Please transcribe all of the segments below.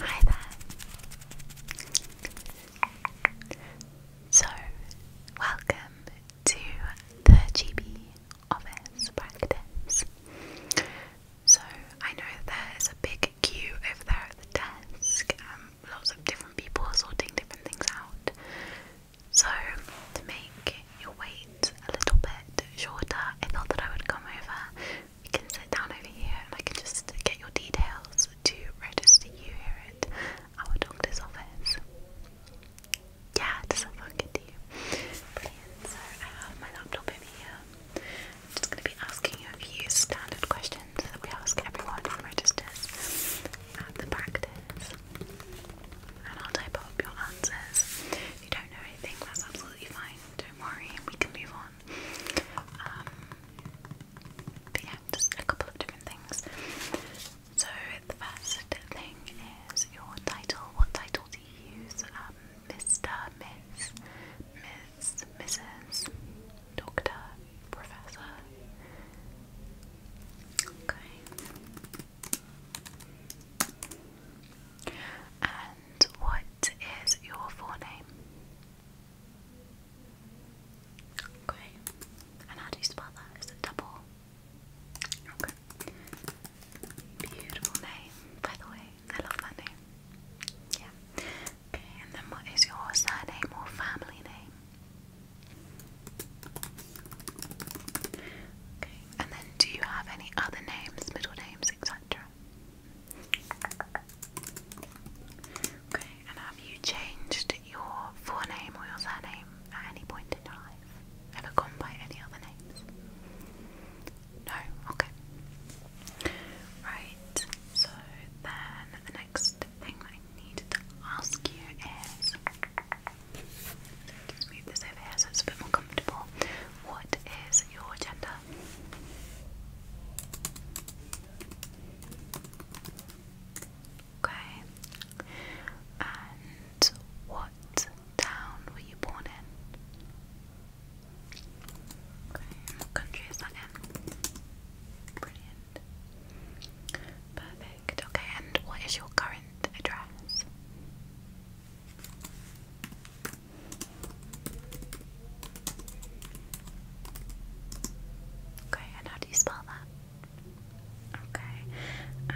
Hi there. So, welcome to the GB office practice. So, I know there's a big queue over there at the desk, and um, lots of different people sorting different things out. So, to make your way seat's a little bit shorter, I thought that I would come over. You can sit down over here and I can just get your details to register you here at our doctor's office. Yeah, does that sound good So I have my laptop over here. I'm just going to be asking you standard questions that we ask everyone who registers at the practice. And I'll type up your answers. If you don't know anything, that's absolutely fine don't worry, we can move on. Um, but a couple of different things. So, first thing is your title. What title do you use? Mr., um, Miss, Miss, Mrs., Doctor, Professor. Okay. And what is your forename? Great. And how do you spell that? Is it double? Okay. Beautiful name, by the way. I love that name. Yeah. Okay, and then what is your surname or family name? Okay, and then, do you have any other names, middle names, etc.? Okay, and have you changed your forename or your surname at any point in your life? Ever gone by any other names? No? Okay. Right, so then the next thing I need to ask you is just move this over here so it's a bit more comfortable. What is your gender? Okay. And what town were you born in? Okay, what country is that in? Brilliant. Perfect. Okay, and what is your current address? Okay, and how do you spell that? Okay, and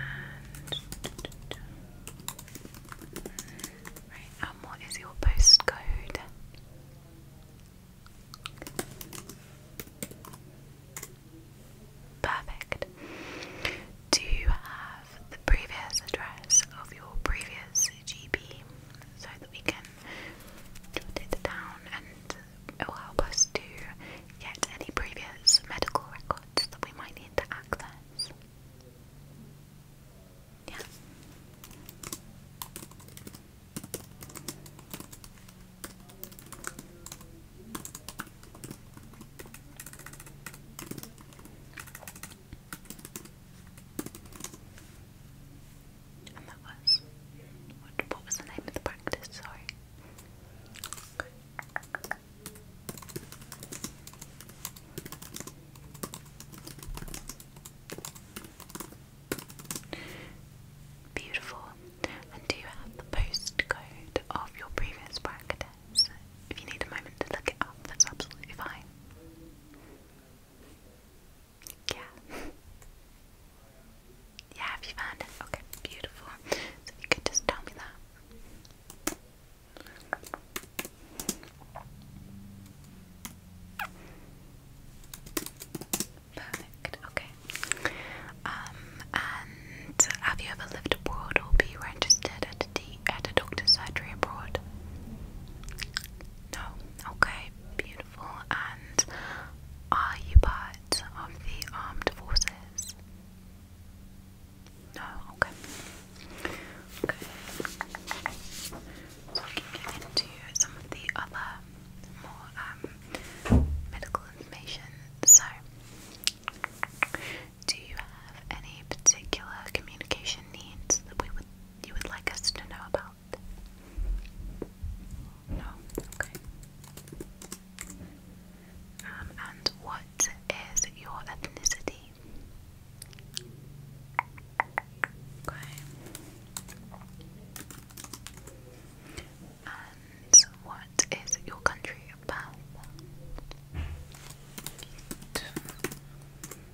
right, and what is your postcode? Perfect. Do you have the previous address of your previous GP so that we can jot it down and it will help us to get any previous medical records that we might need to access? Yeah. And that was what, was the name of the practice? Sorry. Beautiful and do have the postcode of your previous practice. If you need a moment to look it up, that's absolutely fine. Yeah. Yeah, have you found it? Okay, beautiful. So you could just tell me that. Perfect. Okay. Um, and have you ever lived abroad or be registered at a doctor's surgery abroad? No. Okay. Beautiful. And are you part of the armed forces? No. Okay. Okay. So we can get into some of the other more um, medical information. So, do you have any particular communication needs that we would you would like us to know about? No. Okay. Um, and what is your ethnicity? Okay. And what is your country about?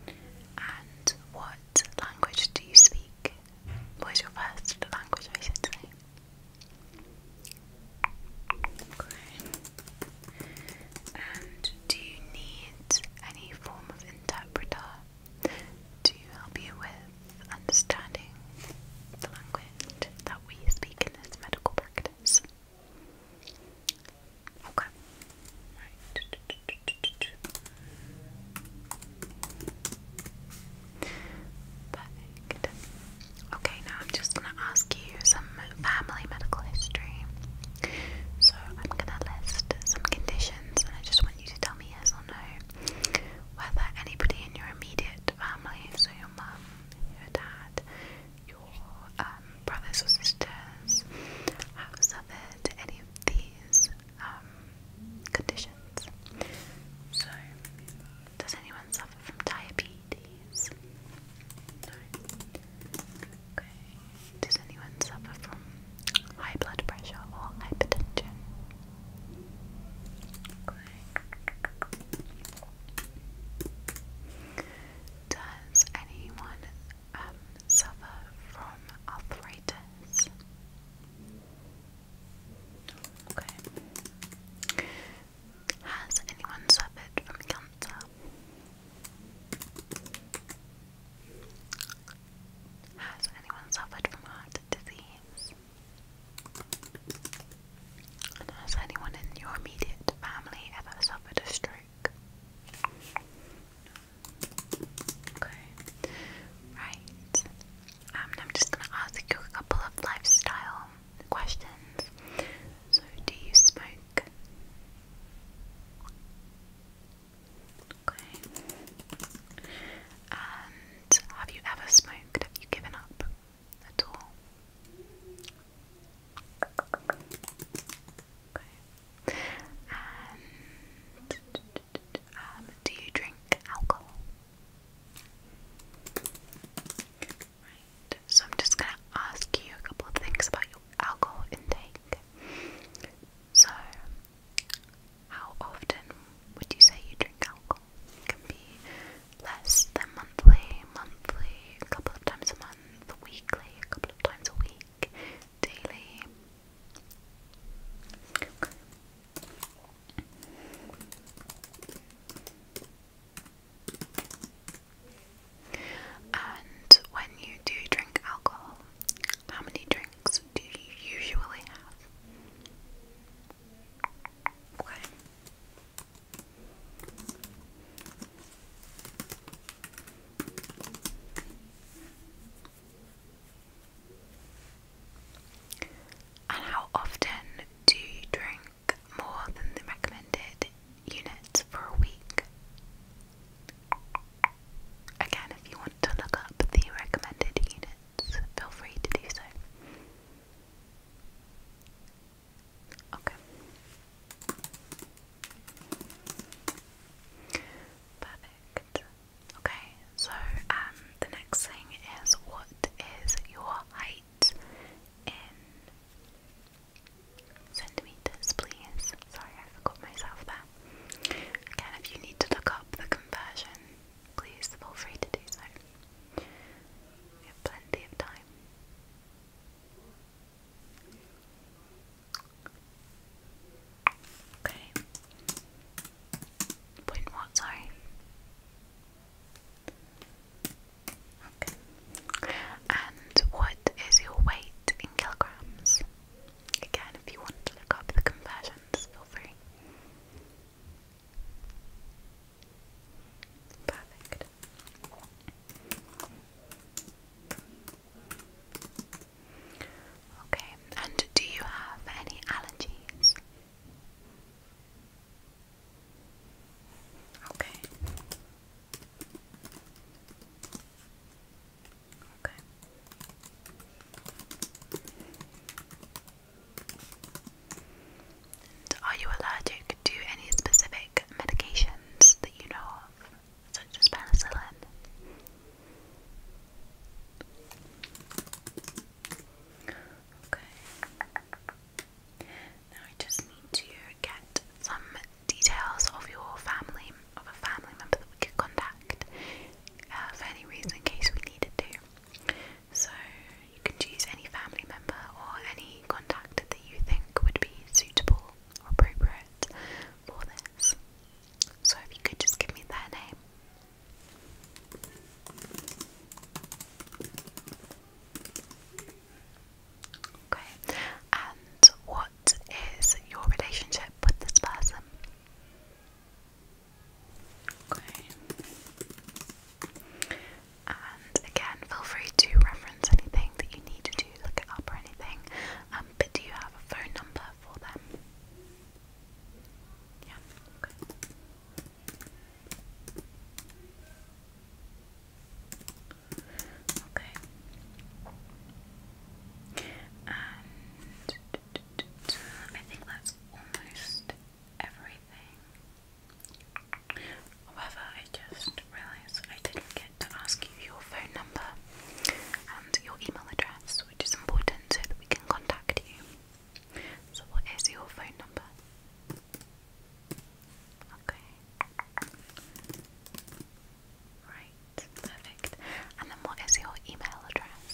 And what language do you speak? What is your first language, I should say? And do you need any form of interpreter to help you with understanding the language that we speak in this medical practice. Okay. Right. Perfect. Okay, now I'm just going to ask you some family medical history. So I'm going to list some conditions and I just want you to tell me yes or no whether anybody in your immediate family, so your mum, your dad, your um, brothers or sisters, have suffered any of these um, conditions. So, does anyone suffer from diabetes? Okay. Does anyone suffer from high blood pressure or hypertension. Does anyone um, suffer from arthritis? Okay. Has anyone suffered from cancer? Has anyone suffered from heart disease? has anyone in your immediate family ever suffered a stroke? Okay. Right. Um, I'm just going to ask you a couple of lifestyle questions. So, do you smoke? Okay. And have you ever smoked? Have you given up at all? Okay. And um, do you drink alcohol? Right. So I'm just gonna ask you a couple of things about your alcohol intake. So, how often would you say you drink alcohol? It can be less than monthly, monthly, a couple of times a month, weekly, a couple of times a week, daily. And when you do drink alcohol, how many drinks do you usually have? And how often do you drink more than the recommended units for a week? Again, if you want to look up the recommended units, feel free to do so. Okay. Perfect. Okay, so um the next thing is what is your height in centimeters, please. Sorry, I forgot myself there. Again, if you need to look up the conversion, please feel free to do so. We have plenty of time. Okay. Point sorry? Okay. And what is your weight in kilograms? Again, if you want to look up the conversions, feel free. Perfect. Okay, and do you have any allergies? Okay are you allergic to any specific medications that you know of, such as penicillin? Now I just need to get some details of your family, of a family member that we could contact uh, for any reason in case we needed to. So you can choose any family member or any contact that you think would be suitable appropriate for this. So if you could just give me their name. Okay, and what is your relationship with this person? Okay. And again, feel free to reference anything that you need to look up or anything. Um, but do you have a phone number for them? Yeah, okay. Okay. And I think that's almost everything. However, I just realised I didn't get to ask you your phone number and your email address, which is important so that we can contact you. So, what is your phone number? Okay. Right, perfect. And then what is your email address?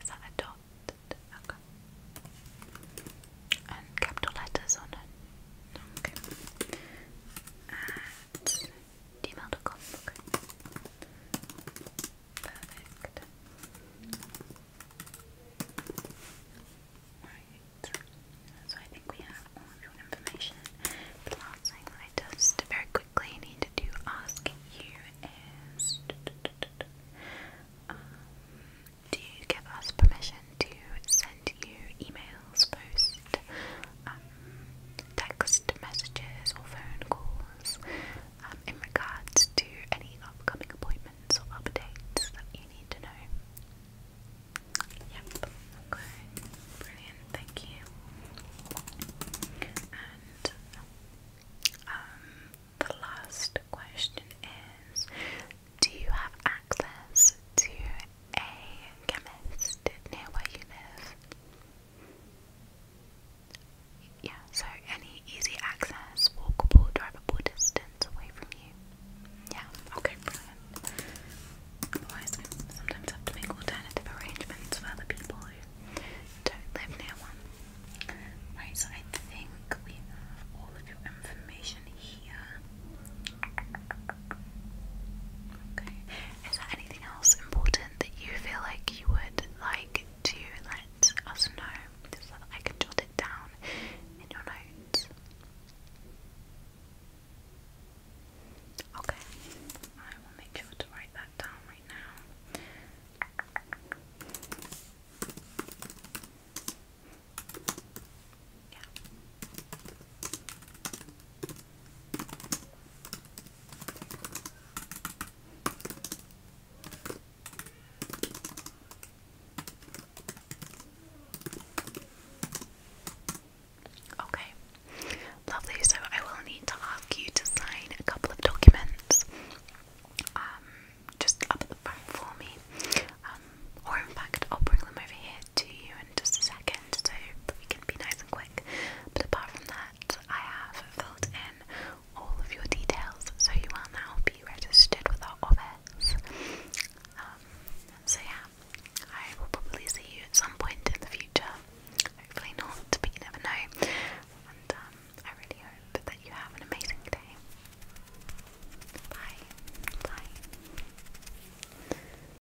Is that a dot? Okay. And capital letters on it. Okay. At gmail.com. Okay. Perfect. Right. So I think we have all of your information. The last thing I just very quickly needed to ask you is um, do you give us permission to send you emails, post um, text messages or phone calls um, in regards to any upcoming appointments or updates that you need to know. Yep, okay, brilliant, thank you. And um, the last question is Do you have access to a chemist near where you live? Yeah, so any easy access, walkable, drivable distance away from you. Yeah, okay, sometimes have to make alternative arrangements for other people who don't live near one. Right, so I think we have all of your information here. Okay, is there anything else important that you feel like you would like to let us know so that I can jot it down in your notes. Okay, I will make sure to write that down right now. Yeah. Okay, lovely. So I will need to ask you to sign a couple of documents. Um, just up the front for me. Um, or in fact, I'll bring them over here to you in just a second so we can be nice and quick. But apart from that, I have filled in all of your details so you will now be registered with our office. Um, so, yeah, I will probably see you at some point in the future. Hopefully, not, but you never know. And um, I really hope that you have an amazing day. Bye. Bye.